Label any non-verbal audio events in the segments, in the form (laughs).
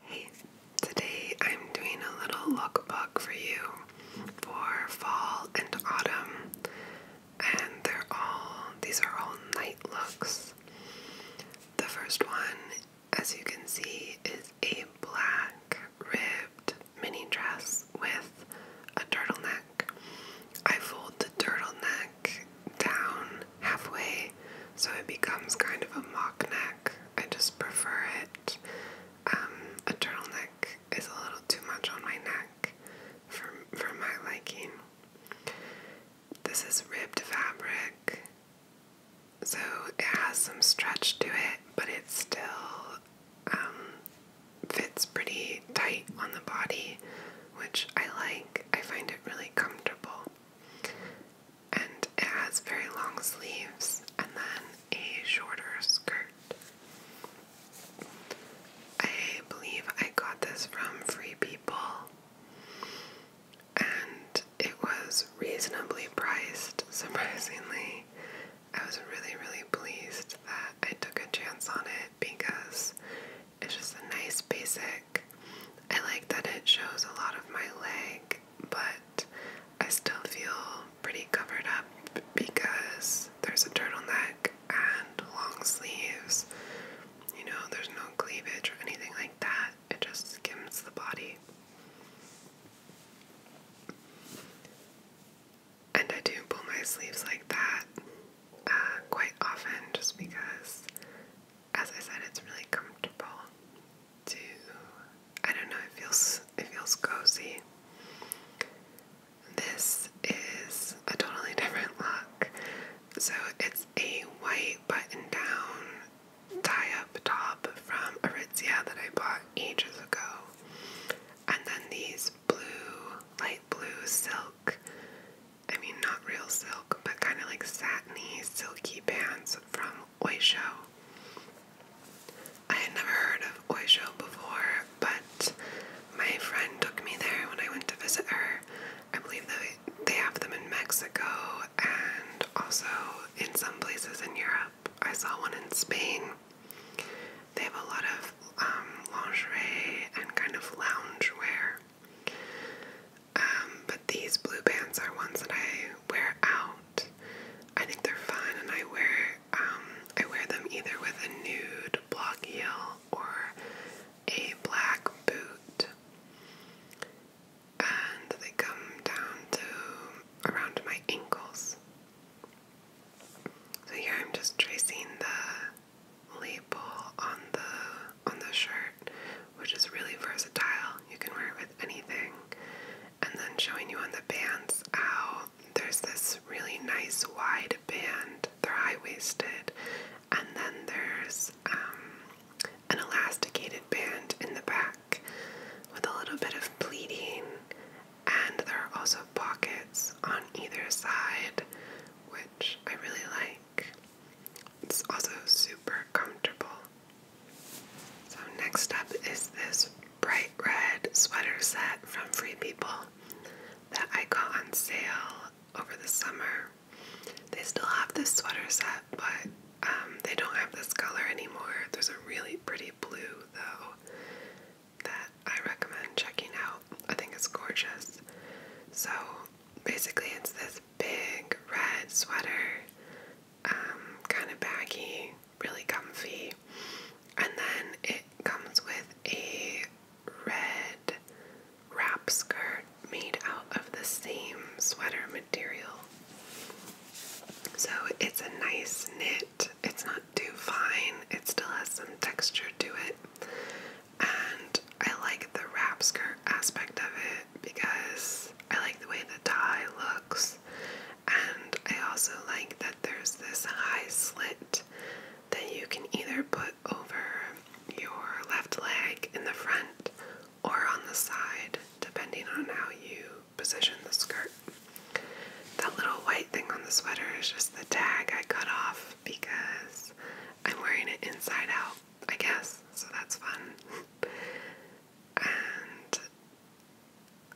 Hey, today I'm doing a little lookbook for you for fall and autumn. And they're all, these are all night looks. The first one, as you can see, is a black ribbed mini dress with a turtleneck. I fold the turtleneck down halfway, so it becomes kind of a mock neck. I just prefer it. Um, a turtleneck is a little too much on my neck for, for my liking. This is ribbed fabric, so it has some stretch to it, but it still um, fits pretty tight on the body, which I like. I find it really comfortable and it has very long sleeves and then a shorter skirt. I believe I got this from Free People and it was reasonably priced, (laughs) surprisingly. I was really, really pleased that I took a chance on it because it's just a nice basic. I like that it shows a lot of my leg but I still feel pretty covered up because there's a turtleneck and long sleeves. You know, there's no cleavage or anything like that, it just skims the body. And I do pull my sleeves like that uh, quite often just because as I said, it's really comfortable to I don't know, it feels it feels cozy. This is a totally (laughs) different look. So it's a white button down tie up top from Aritzia that I bought ages ago. And then these blue, light blue silk. I mean, not real silk, but kind of like satiny, silky pants from Oysho. I had never heard of Oysho before, but my friend took me there when I went to visit her. I believe that they have them in Mexico and also in some places in Europe. I saw one in Spain. They have a lot of um, lingerie and kind of lounge wear. Um, but these blue bands are ones that I wear out. I think they're fun, and I wear um, I wear them either with a nude block heel or a black boot, and they come down to around my ankles. So here I'm just tracing the label on the on the shirt which is really versatile. You can wear it with anything. And then showing you on the bands how there's this really nice wide band. They're high waisted. And then there's um, an elasticated band in the back with a little bit of pleating. And there are also pockets on either side, which I really like. It's also super comfortable. So, next up is this bright red sweater set from Free People that I got on sale over the summer. They still have this sweater set, but um, they don't have this color anymore. There's a really pretty blue, though, that I recommend checking out. I think it's gorgeous. So, basically, it's this big red sweater um, kind of baggy, really comfy. And then it comes with a red wrap skirt made out of the same sweater material. So it's a nice knit, it's not too fine, it still has some texture to it. And I like the wrap skirt aspect of it because I like the way the tie looks, and I also like that there's this high slit that you can either put over your left leg in the front or on the side, depending on how you position the skirt. That little white thing on the sweater is just the tag I cut off because I'm wearing it inside out, I guess, so that's fun. (laughs) and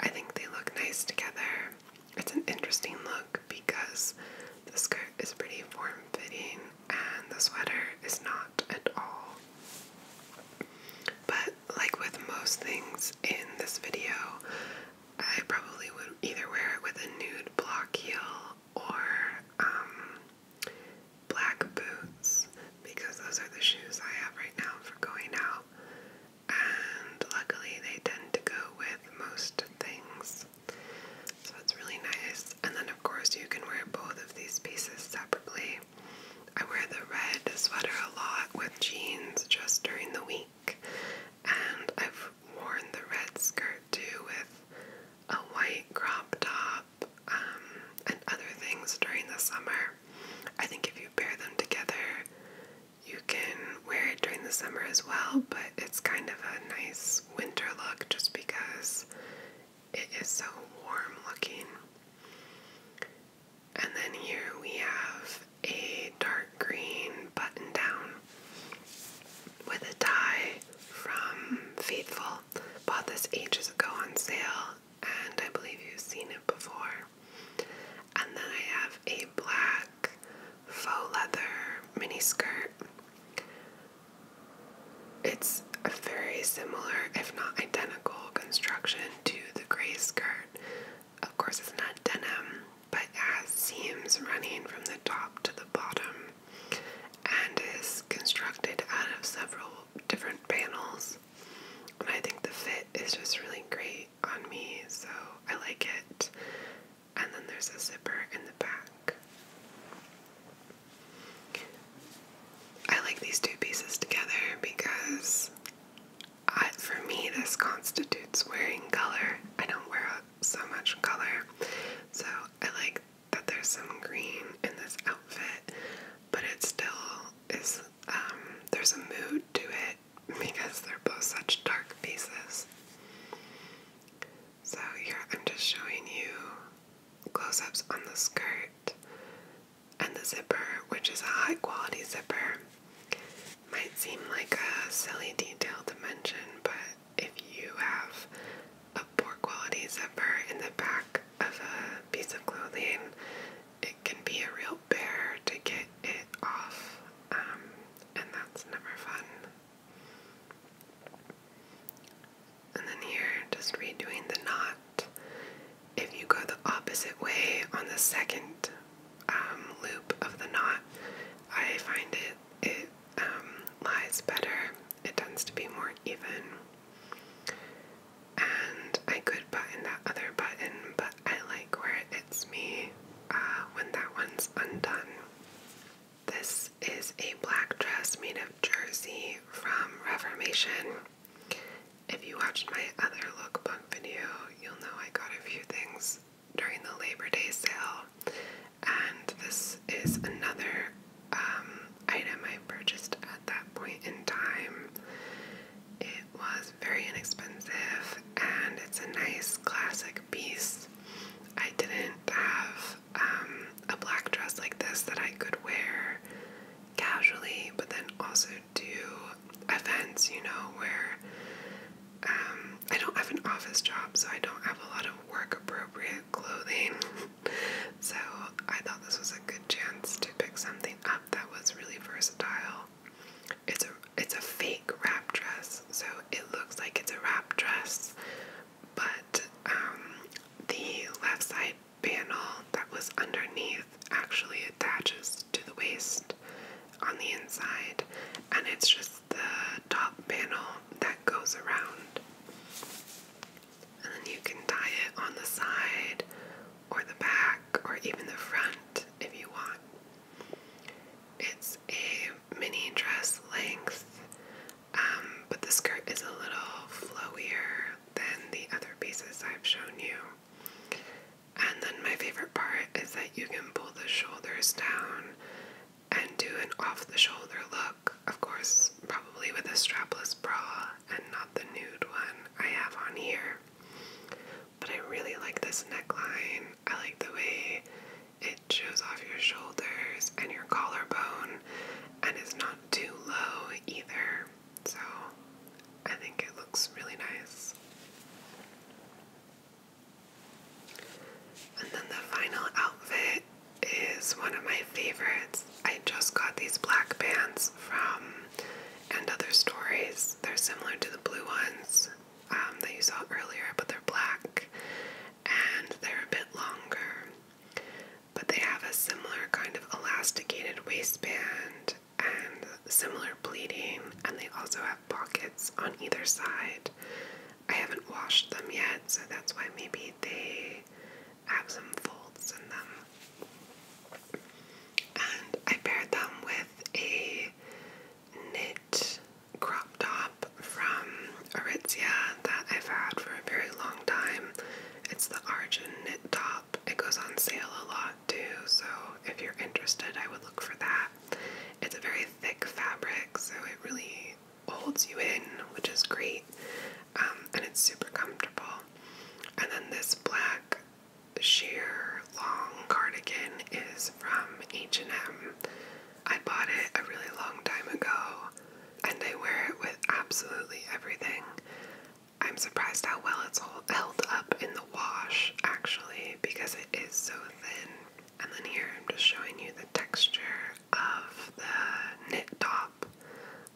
I think they look nice together. It's an interesting look because the skirt is pretty form fitting and the sweater is not at all. But, like with most things in this video, I probably would either wear it with a nude block heel or um, black boots because those are the shoes I have right now for going out. And luckily, they tend to go with most things. So it's really nice. And then, of course, you can wear both of these pieces separately. I wear the red sweater a lot with jeans just during the week. And I've worn the red skirt too with a white crop top um, and other things during the summer. I think if you pair them together, you can wear it during the summer as well, but it's kind of a nice winter look just because it is so warm looking. And then here we have a dark green button down with a tie from Faithful. Bought this ages ago on sale and I believe you've seen it before. And then I have a black faux leather mini skirt. It's a very similar, if not identical, construction to the gray skirt. Of course, it's not denim, but it has seams running from the top to the bottom and is constructed out of several different panels. And I think the fit is just really great on me, so I like it. And then there's a zipper in the back. I like these two pieces together because I, for me, this constitutes wearing color. I don't wear so much color, so I like that there's some green in this outfit, but it still is, um, there's a mood to it because they're both such dark pieces. So here I'm just showing you close-ups on the skirt and the zipper, which is a high-quality zipper. Might seem like a silly detail to mention, but if you have a poor quality zipper in the back of a piece of clothing, it can be a real bear to get it off, um, and that's never fun. And then here, just redoing the knot. If you go the opposite way on the second um, loop of the knot, I find it it um, lies better. It tends to be more even. And I could button that other button, but I like where it's me uh, when that one's undone. This is a black dress made of jersey from Reformation. If you watched my other lookbook video, you'll know I got a few things during the Labor Day sale. And this is another um, item I purchased at that point in time. It was very inexpensive and it's a nice classic piece. I didn't have um, a black dress like this that I could wear casually, but then also do events, you know, where um, I don't have an office job, so I don't have a lot of work appropriate clothing. (laughs) (laughs) so I thought this was a good chance to pick something up that was really versatile. It's a it's a fake wrap dress, so it looks like it's a wrap dress, but um, the left side panel that was underneath actually attaches to the waist on the inside, and it's just the top panel that goes around and then you can tie it on the side or the back or even the front if you want. It's a mini dress length, um, but the skirt is a little flowier than the other pieces I've shown you. And then my favorite part is that you can pull the shoulders down and do an off the shoulder look of course, probably with a strapless bra and not the nude one I have on here. But I really like this neckline. I like the way it shows off your shoulders and your collarbone and it's not too low either. So I think it looks really nice. And then the final outfit is one of my favorites. I just got these black pants from And Other Stories. They're similar to the blue ones um, that you saw earlier, but they're black and they're a bit longer. But they have a similar kind of elasticated waistband and similar pleating, and they also have pockets on either side. I haven't washed them yet, so that's why maybe they have some folds in them. And I paired them with a knit crop top from Aritzia that I've had for a very long time. It's the Argent knit top. It goes on sale a lot too, so if you're interested, I would look for that. It's a very thick fabric, so it really holds you in, which is great. Um, and it's super comfortable. And then this black sheer long cardigan is from H&M. I bought it a really long time ago, and I wear it with absolutely everything. I'm surprised how well it's hold, held up in the wash, actually, because it is so thin. And then here I'm just showing you the texture of the knit top.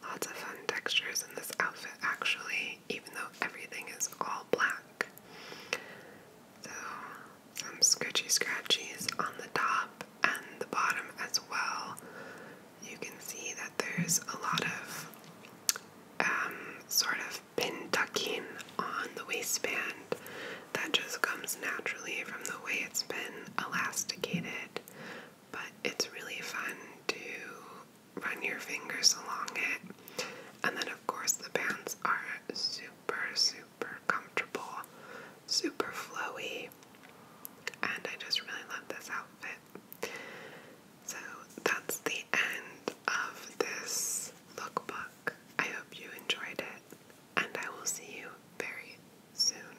Lots of fun textures in this outfit, actually, even though everything is all black. So, some scritchy scratchies on the top and the bottom as well. You can see that there's a lot of um, sort of pin tucking on the waistband that just comes naturally from the way it's been elasticated but it's really fun to run your fingers along it. And then, of course, the bands are super, super comfortable, super flowy, and I just really love this outfit. So, that's the end of this lookbook. I hope you enjoyed it, and I will see you very soon.